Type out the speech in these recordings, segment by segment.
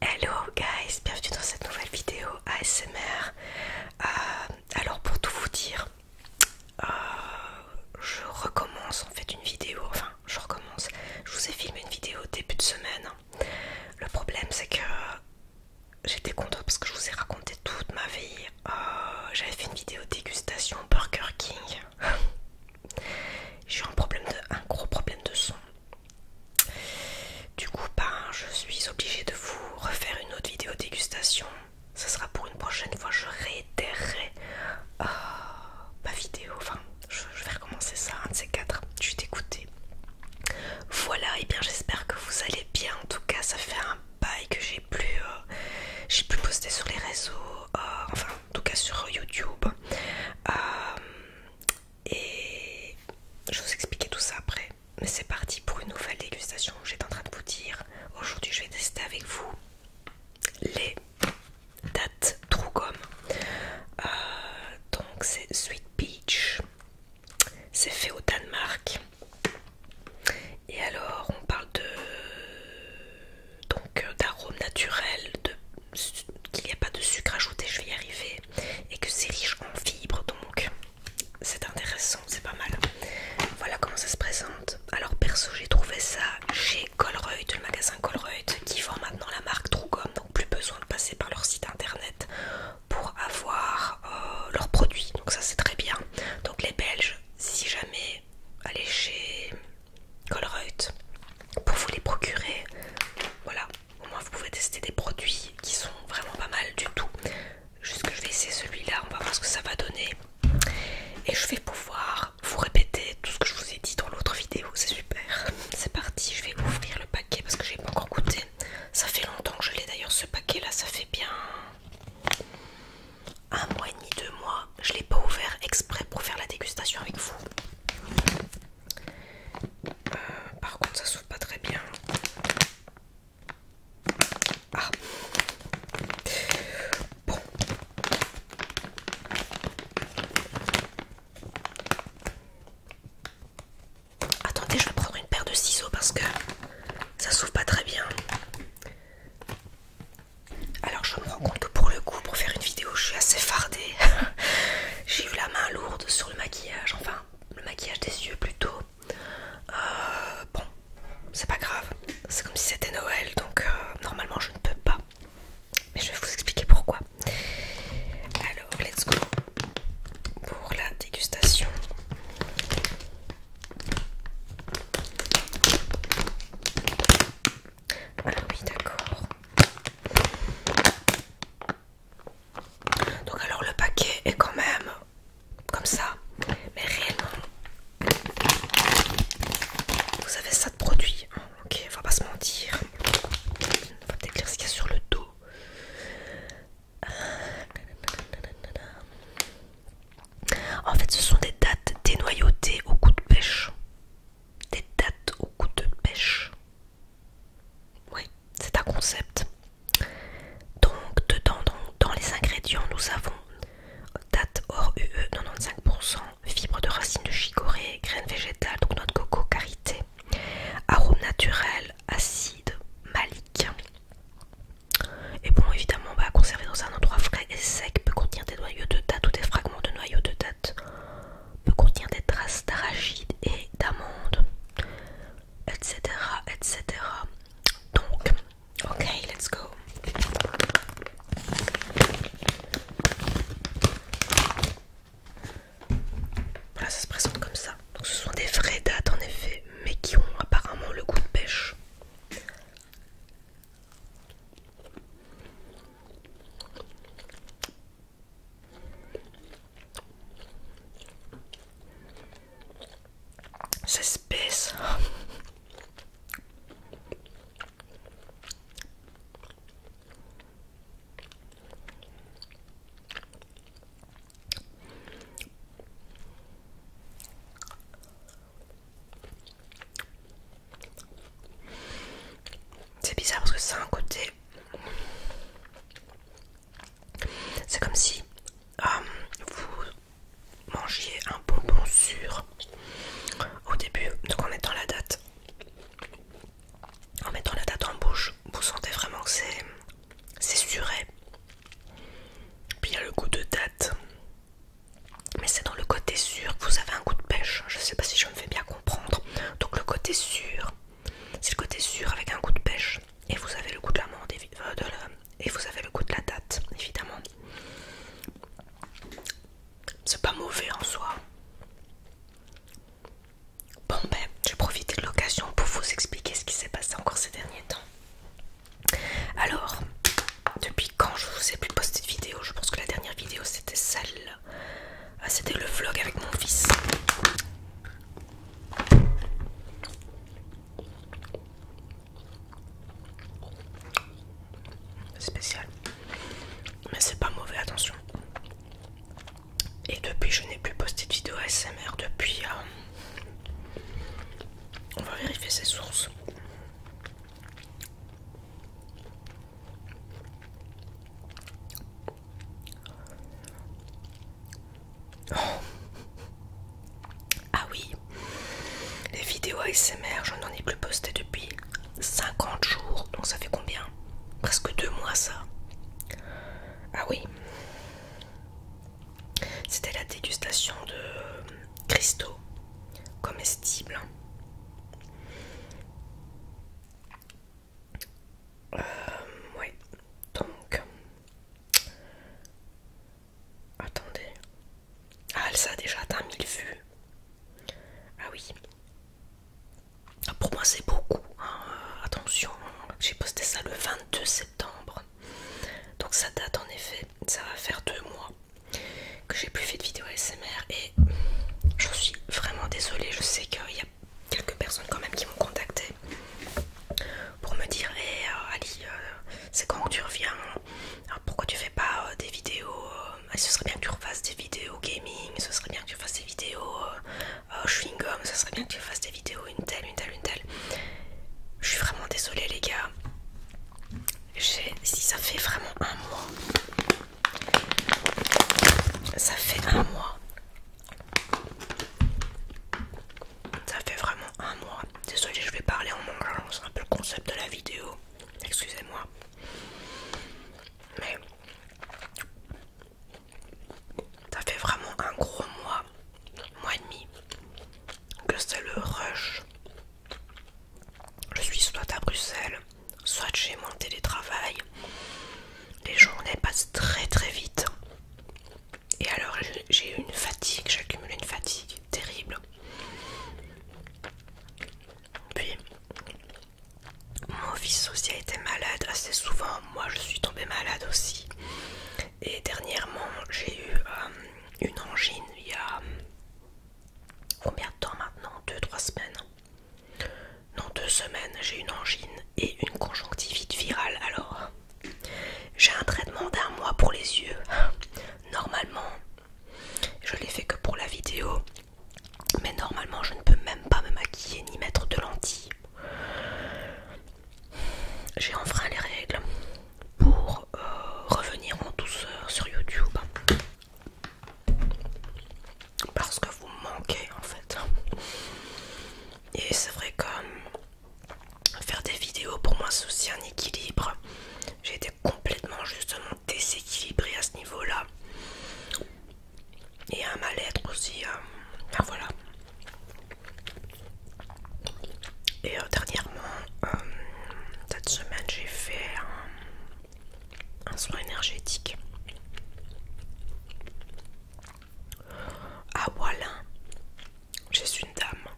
Hello guys, bienvenue dans cette nouvelle vidéo ASMR. Euh, alors pour tout vous dire, euh, je recommence en fait une vidéo, enfin je recommence, je vous ai filmé une vidéo début de semaine. Le problème c'est que j'étais contente parce que je vous ai raconté toute ma vie. Euh, j'avais fait une vidéo dégustation Burger King. J'ai eu un problème de un gros problème de son du coup, ben, je suis obligée de vous refaire une autre vidéo dégustation. Ça sera pour une prochaine fois, je réitérerai ah ma vidéo. Enfin, je, vais recommencer ça, un de ces quatre. Je suis Voilà, et bien j'espère que vous allez bien. En tout cas, ça fait un bail que j'ai plus, euh, j'ai plus posté sur les réseaux, euh, enfin, en tout cas sur YouTube. Euh, et je vais vous expliquer tout ça après. Mais c'est parti pour une nouvelle dégustation. J'étais en train de vous dire, aujourd'hui je vais tester avec vous les dates Trugum. Euh, donc c'est Sweet Peach. C'est fait au Danemark. Et alors on parle de donc d'arômes naturels, de qu'il n'y a pas de sucre ajouté, je vais y arriver, et que c'est riche en fibres, donc c'est intéressant, c'est pas mal. Voilà comment ça se présente. Alors perso, j'ai trouvé ça chez Colruyt, le magasin Colruyt, qui vend maintenant la marque Trucom donc plus besoin de passer par leur site internet pour avoir euh, leurs produits, donc ça c'est très bien. Donc les Belges, si jamais, allez chez out pour vous les procurer. Voilà, au moins vous pouvez tester des produits qui sont vraiment pas mal du tout. Juste que je vais essayer celui-là, on va voir ce que ça va donner. Et je vais pouvoir vous répéter tout ce que je vous ai dit dans l'autre vidéo, c'est super. C'est parti, je vais ouvrir le paquet parce que j'ai pas encore goûté. Ça fait longtemps que je l'ai d'ailleurs ce paquet là, ça fait bien un mois et demi, deux mois. Je l'ai pas ouvert exprès pour faire la dégustation avec vous. Euh, par contre, ça s'ouvre pas très bien. Ah. Attendez, je vais prendre une paire de ciseaux parce que ça s'ouvre pas très bien. Alors je me rends compte que pour le coup, pour faire une vidéo, je suis assez fardée. J'ai eu la main lourde sur le maquillage, enfin le maquillage des yeux plutôt. Euh, bon, c'est pas grave. C'est comme si c'était Noël, donc euh, normalement je ne peux pas. Mais je vais vous expliquer pourquoi. Alors, let's go pour la dégustation. Ah oui, d'accord. Donc alors le paquet est quand même comme ça, mais rien vous avez ça de produit. Hein, ok, on va pas se mentir. On va peut ce qu'il y a sur le dos. En fait, ce sont des dates dénoyautées au coup de pêche des dates au goût de pêche. Oui, c'est un concept. Donc, dedans, dans, les ingrédients, nous avons date hors UE 95%, fibres de racines de chicorée, graines végétales, donc notre de coco, carité, arômes naturels, acide, malique. Et bon, évidemment, va bah, conserver dans un endroit frais et sec peut contenir des noyaux de date ou des fragments de noyaux de date peut contenir des traces d'arachides et d'amandes, etc., etc. Donc, ok, let's go. Voilà, ça se présente comme ça. Donc, ce sont des vraies dates en effet, mais qui ont apparemment le goût de pêche. C'est spécial c'est bizarre parce que c'est un côté. C'est comme si euh, vous mangiez un bonbon sûr au début, donc en mettant la date. En mettant la date en bouche, vous sentez vraiment que c'est. C'est suré. Puis il y a le goût de date mais c'est dans le côté sûr que vous avez un goût de pêche. Je sais pas si je me fais bien comprendre. Donc le côté sûr, c'est le côté sûr avec un goût de pêche. Et vous avez le goût de l'amande euh, et vous avez le goût de la date, évidemment. C'est pas mauvais en soi. Bon ben, j'ai profité de l'occasion pour vous expliquer ce qui s'est passé encore ces derniers temps. Alors, depuis quand je vous ai plus posté de vidéo. Je pense que la dernière vidéo c'était celle. Ah, c'était le vlog avec mon fils. Spécial. Mais c'est pas mauvais, attention. Et depuis, je n'ai plus posté de vidéo ASMR depuis. Euh, on va vérifier ses sources. Ah oui, les vidéos ASMR, je n'en ai plus posté depuis 50 jours, donc ça fait combien Presque deux mois ça. Ah oui, c'était la dégustation de euh, cristaux comestibles. Euh, oui. donc. Attendez. Ah, elle ça a déjà atteint 1000 vues. Ah oui. Ah, pour moi, c'est beaucoup. Hein. Attention, j'ai posté ça le 22 septembre. Donc, ça date en effet. Ça va faire deux mois que j'ai plus fait de vidéo ASMR et je suis vraiment désolée. Je sais qu'il y a quelques personnes quand même qui m'ont contacté pour me dire euh, Ali, euh, c'est quand que tu reviens Pourquoi tu fais pas euh, des vidéos Ce serait bien que tu refasses des vidéos gaming, ce serait bien que tu fasses des vidéos chewing gum, ce serait bien que tu fasses des vidéos une telle, une telle, une telle. Je suis vraiment désolée les gars si ça fait vraiment un mois, ça fait un mois, ça fait vraiment un mois. Désolée, je vais parler en mangeant, hein, c'est un peu le concept de la vidéo, excusez-moi. Mais ça fait vraiment un gros mois, mois et demi, que c'est le rush je suis soit à Bruxelles, soit chez mon télétravail. Les journées passent très très vite. Et alors j'ai eu une fatigue, j'accumule une fatigue terrible. Puis mon fils aussi a été malade assez souvent, moi je suis tombée malade aussi. Et dernièrement, j'ai eu euh, une angine il y a combien de temps maintenant 2-3 semaines Non, 2 semaines, j'ai une angine et une conjonctivite virale. Alors, j'ai un traitement d'un mois pour les yeux. Normalement, je l'ai fait que pour la vidéo. Mais normalement, je ne peux même pas me maquiller ni mettre de lentilles. J'ai enfreint les règles pour euh, revenir en douceur sur YouTube parce que vous manquez en fait et c'est vrai comme euh, faire des vidéos pour moi c'est aussi un équilibre j'ai été complètement justement déséquilibrée à ce niveau là et un mal-être aussi euh, enfin voilà et euh, dernièrement, euh, cette semaine, j'ai fait un, soin énergétique Ah voilà j'ai une dame.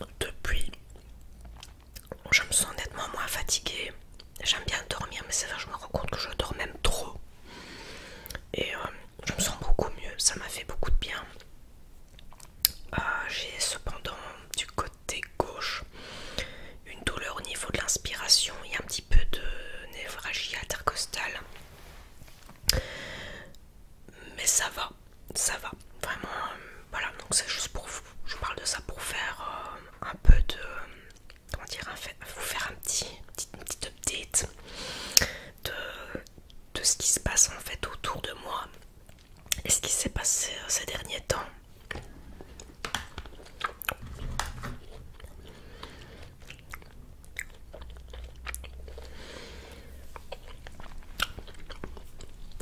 Euh, depuis, je me sens nettement moins fatiguée. J'aime bien dormir, mais c'est vrai, je me rends compte que je dors même trop. Et euh, je me sens beaucoup mieux, ça m'a fait beaucoup de bien. Euh, j'ai cependant du côté gauche une douleur au niveau de l'inspiration et un petit peu de névragie intercostale. Mais ça va, ça va. Vraiment, euh, voilà, donc c'est juste pour vous. Je parle de ça pour faire un peu de comment dire, vous faire un petit, petit, petite update de, ce qui se passe en fait autour de moi et ce qui s'est passé euh, ces derniers temps.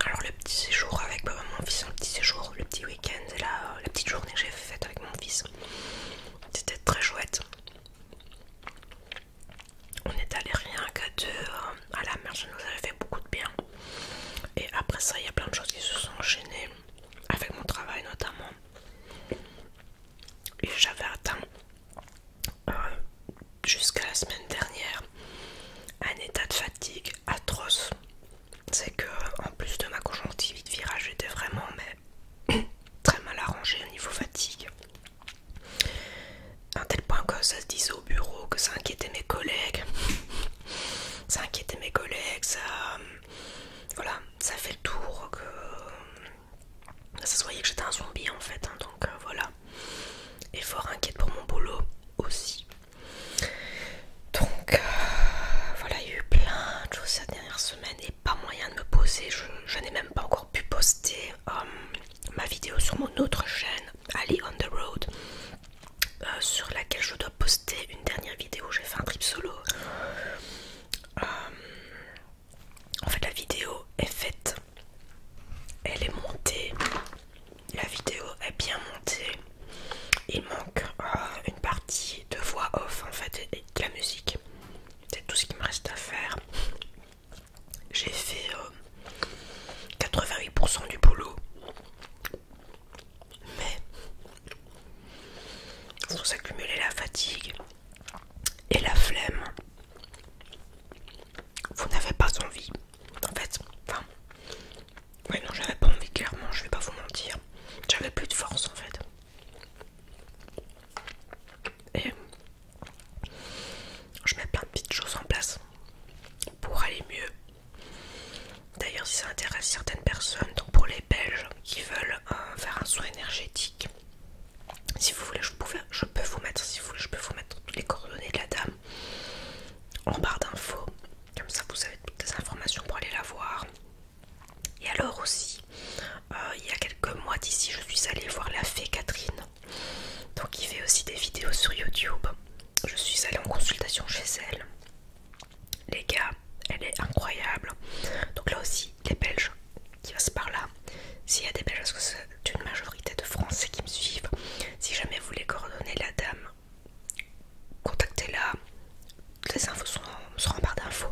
Alors le petit séjour avec bah, mon fils, le petit séjour, le petit week-end et la, la petite journée que j'ai faite avec mon fils, c'était très chouette. On est allé rien qu'à deux euh, à la mer, ça nous avait fait beaucoup de bien. Et après ça, il y a plein de choses qui se sont enchaînées, avec mon travail notamment. Et j'avais atteint euh, jusqu'à la semaine dernière un état de fatigue atroce. C'est que en plus de ma conjonctivite virage, j'étais vraiment très mal arrangé au niveau fatigue. un tel point que ça se disait au bureau que ça inquiétait mes collègues. ça inquiétait mes collègues, ça. Voilà, ça fait le tour que. Ça se voyait que j'étais un zombie en fait, hein, donc euh, voilà. Et fort inquiète pour mon boulot aussi. Donc euh, voilà, il y a eu plein de choses cette dernière semaine pas moyen de me poser. Je, n'ai même pas encore pu poster euh, ma vidéo sur mon autre chaîne, Ali on the Road, euh, sur laquelle je dois poster une dernière vidéo. J'ai fait un trip solo. Euh, en fait, la vidéo est faite, elle est montée. La vidéo est bien montée. Il manque une partie de voix off en fait de la musique. C'est tout ce qu'il me reste à faire. J'ai fait 88% euh, du boulot. Mais vous s'accumuler la fatigue et la flemme. Vous n'avez pas envie. En fait, enfin... non, j'avais pas envie, clairement, je vais pas vous mentir. J'avais plus de force en fait. Et je mets plein de petites choses en place pour aller mieux. D'ailleurs, si ça intéresse certaines personnes, donc pour les Belges qui veulent euh, faire un soin énergétique, si vous voulez, je, je peux vous mettre, si vous voulez, je peux vous mettre les coordonnées de la dame en barre d'infos. Comme ça, vous avez toutes les informations pour aller la voir, et alors aussi, euh, il y a quelques mois d'ici, je suis allée voir la fée Catherine, donc qui fait aussi des vidéos sur YouTube. Je suis allée en consultation chez elle. Les gars, elle est incroyable. Donc là aussi, les Belges qui passent par là. S'il y a des Belges, parce que c'est une majorité de Français qui me suivent. Si jamais vous voulez coordonner la dame, contactez-la. Les infos sont, en barre d'infos.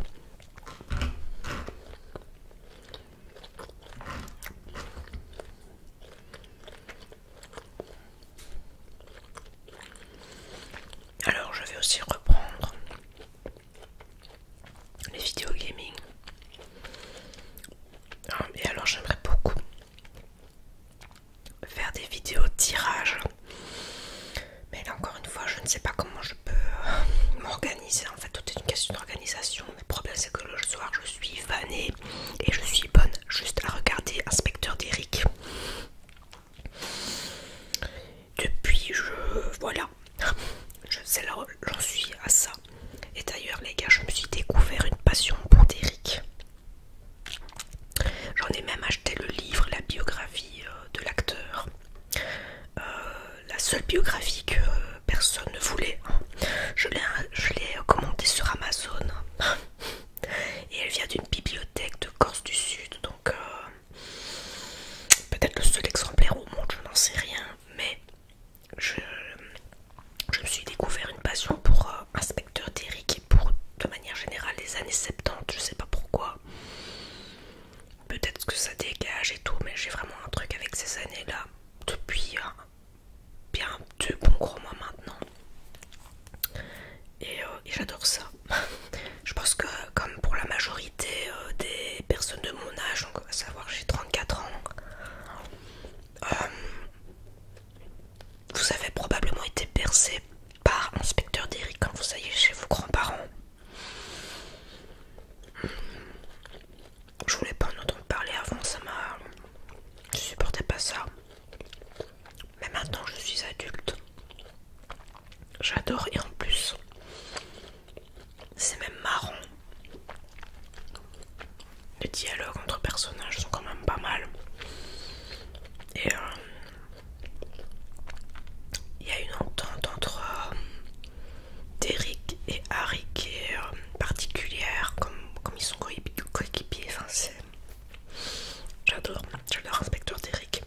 Alors, je vais aussi reprendre les vidéos gaming. Ah, et alors, j'aimerais beaucoup faire des vidéos tirage mais là encore une fois, je ne sais pas comment je peux euh, m'organiser. En fait, tout est une question d'organisation. Le problème, c'est que le soir, je suis fanée et je suis bonne juste à regarder Inspecteur Derrick Depuis, je. Voilà. Je j'en suis à ça. Et d'ailleurs, les gars, je me suis découvert une passion pour Derrick. J'en ai même acheté le livre, la biographie euh, de l'acteur. Euh, la seule biographie que euh, personne ne voulait. Hein. Je l'ai commandée sur Amazon. Et elle vient d'une bibliothèque de Corse du Sud. Donc peut-être le seul exemplaire au monde, je n'en sais rien. Mais je, me suis découvert une passion pour Inspecteur Derrick et pour de manière générale les années 70. Je ne sais pas pourquoi. Peut-être que ça dégage et tout, mais j'ai vraiment un truc avec ces années-là depuis euh, bien deux bons gros mois maintenant. Et, euh, j'adore ça. Je pense que comme pour la majorité euh, des personnes de mon âge, donc à savoir j'ai 34 ans, vous avez probablement été percé par inspecteur d'Eric quand vous alliez chez vos grands-parents. Je voulais pas en entendre parler avant, ça m'a. Je supportais pas ça. Mais maintenant je suis adulte. J'adore et en plus, c'est même marrant. Les dialogues entre personnages sont quand même pas mal. Et euh, il y a une entente entre euh, Derrick et Harry qui est euh, particulière, comme, ils sont coéquipiers. j'adore, j'adore Inspecteur Derrick.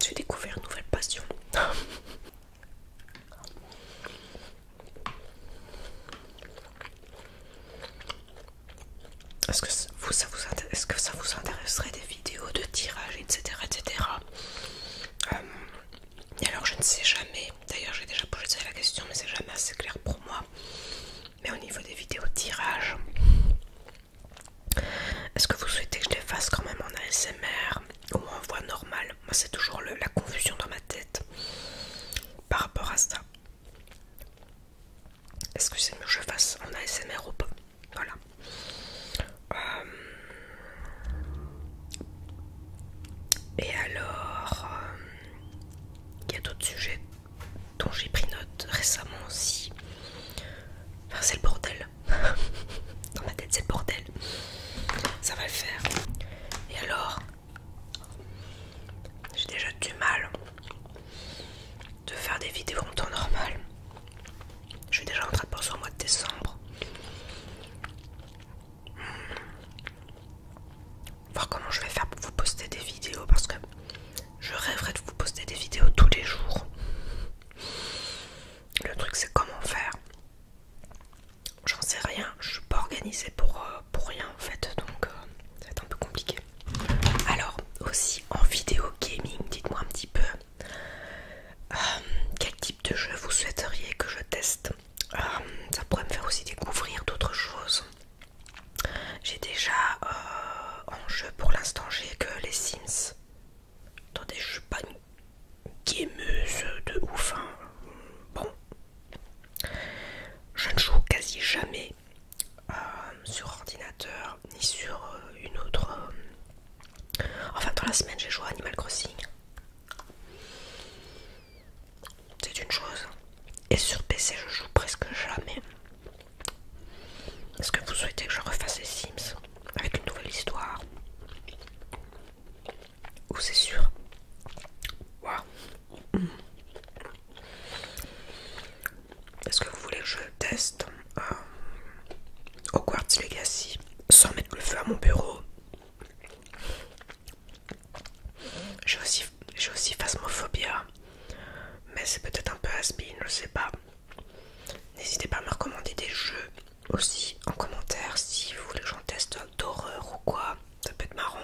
J'ai découvert une nouvelle passion. Est-ce que, est que ça vous intéresserait des vidéos de tirage, etc. etc. Euh, et alors je ne sais jamais, d'ailleurs j'ai déjà posé la question mais c'est jamais assez clair pour moi. Mais au niveau des vidéos de tirage, est-ce que vous souhaitez que je les fasse quand même en ASMR ou en voix normale Moi c'est toujours le, la confusion dans ma tête par rapport à ça. Est-ce que c'est je fasse en ASMR ou pas Voilà. Euh, et alors, il euh, y a d'autres sujets dont j'ai pris note récemment aussi. Enfin, c'est le bordel. Dans ma tête, c'est le bordel. Ça va le faire. Et alors, j'ai déjà du mal de faire des vidéos en temps normal. Je suis déjà en train de penser au mois de décembre. Hmm. Voir comment je vais faire pour vous poster des vidéos parce que je rêverais de vous poster des vidéos tous les jours. Le truc c'est comment faire. J'en sais rien, je suis pas organisée pour, euh, pour rien en fait, donc c'est euh, ça va être un peu compliqué. Alors, aussi en vidéo gaming, dites-moi un petit peu euh, quel type de jeu vous souhaiteriez que je teste. Euh, ça pourrait me faire aussi découvrir d'autres choses. J'ai déjà euh, en jeu pour l'instant, j'ai que les Sims. Attendez, je suis pas une gameuse de ouf. Hein. Bon, je ne joue quasi jamais euh, sur ordinateur ni sur euh, une autre. Euh, enfin, dans la semaine, j'ai joué à Animal Crossing. C'est une chose. Et sur PC, je joue presque jamais. Est-ce que vous souhaitez que je refasse les Sims avec une nouvelle histoire Ou c'est sûr est-ce que vous voulez que je teste euh, Hogwarts Legacy sans mettre le feu à mon bureau J'ai aussi, aussi phasmophobia, mais c'est peut-être un peu aspie, je sais pas. N'hésitez pas à me recommander des jeux aussi en commentaire si vous voulez que j'en teste d'horreur ou quoi, ça peut être marrant.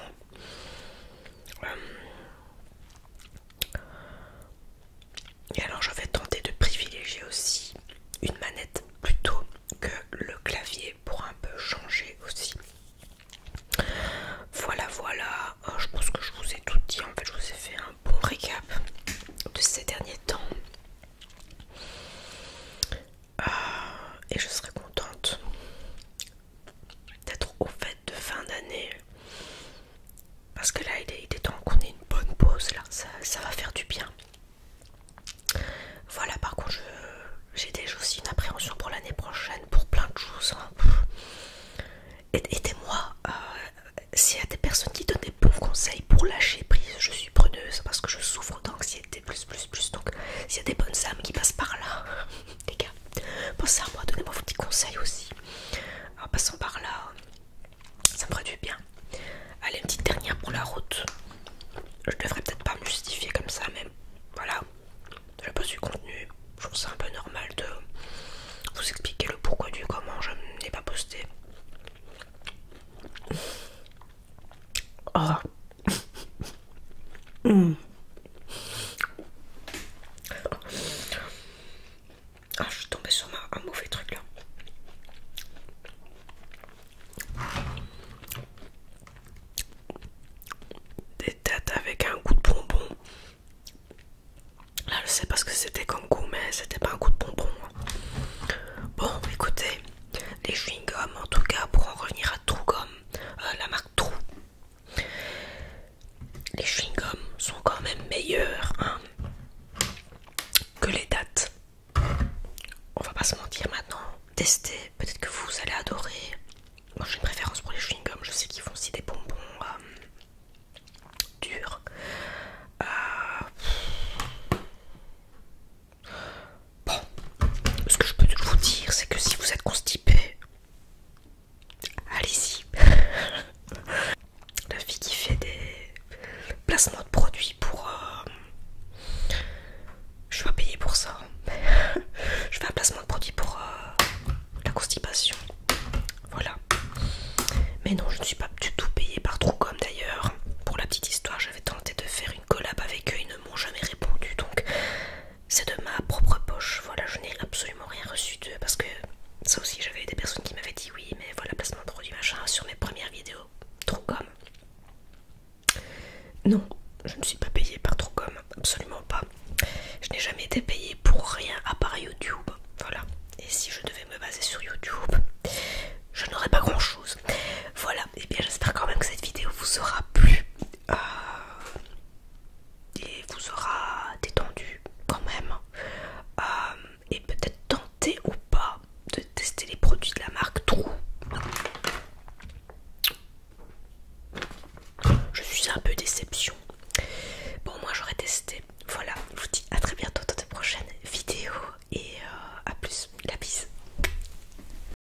Euh, et alors je vais tenter de privilégier aussi une manette plutôt que le clavier pour un peu changer aussi. Voilà voilà, euh, je pense que je vous ai tout dit, en fait je vous ai fait un bon récap de ces derniers temps. Euh, et je serai contente d'être être aux de fin d'année. Parce que là, il est, temps qu'on ait une bonne pause, là, ça, va faire du bien. Voilà, par contre, j'ai déjà aussi une appréhension pour l'année prochaine, pour plein de choses. Aidez-moi, hein. euh, s'il y a des personnes qui donnent des bons conseils pour lâcher prise, je suis preneuse parce que je souffre d'anxiété, plus, plus, plus. Donc, s'il y a des bonnes âmes qui passent par là, les gars. Pensez à moi, donnez-moi vos petits conseils aussi. En passant par là, ça me ferait du bien. Allez, une petite dernière pour la route. Je devrais peut-être pas me justifier comme ça, mais voilà. Je pas du contenu. Je trouve ça un peu normal de vous expliquer le pourquoi du comment je n'ai pas posté. Oh, ah, je suis tombée sur un mauvais truc là. Des têtes avec un goût de bonbon. Là, je sais parce que c'était comme goût, mais c'était pas un goût de bonbon. Hein. Bon, écoutez, les chewing-gums, en tout cas, pour en revenir à True euh, la marque Trou les chewing-gums sont quand même meilleurs hein, que les dates. On va pas se mentir maintenant. Testez, peut-être que vous allez adorer. Moi j'ai une préférence pour les chewing-gums, je sais qu'ils font aussi des bonbons euh, durs. Euh, Bon, ce que je peux vous dire, c'est que si vous êtes constipé, allez-y. La fille qui fait des placements de produits pour... ne euh, Je pas payée pour ça. Hein. je fais un placement de produits pour euh, la constipation. Voilà. Mais non, je ne suis pas du tout payée par Truecom d'ailleurs. Pour la petite histoire, j'avais tenté de faire une collab avec eux, ils ne m'ont jamais répondu. Donc c'est de ma propre poche. Voilà, je n'ai absolument rien reçu de, parce que ça aussi, j'avais des personnes qui m'avaient dit oui, mais voilà, placement de produit machin sur mes premières vidéos. trop comme. Non, je ne suis pas payée par trop comme, absolument pas. Je n'ai jamais été payée pour rien à part YouTube. Voilà. Et si je devais me baser sur YouTube, je n'aurais pas grand chose. Voilà. Et eh bien, j'espère quand même que cette vidéo vous aura plu. Euh, et il vous aura détendu quand même euh, et peut-être tenté ou pas de tester les produits de la marque Trou. Je suis un peu déception. Bon, moi j'aurais testé. Voilà, je vous dis à très bientôt dans de prochaines vidéos et euh, à plus. La bise.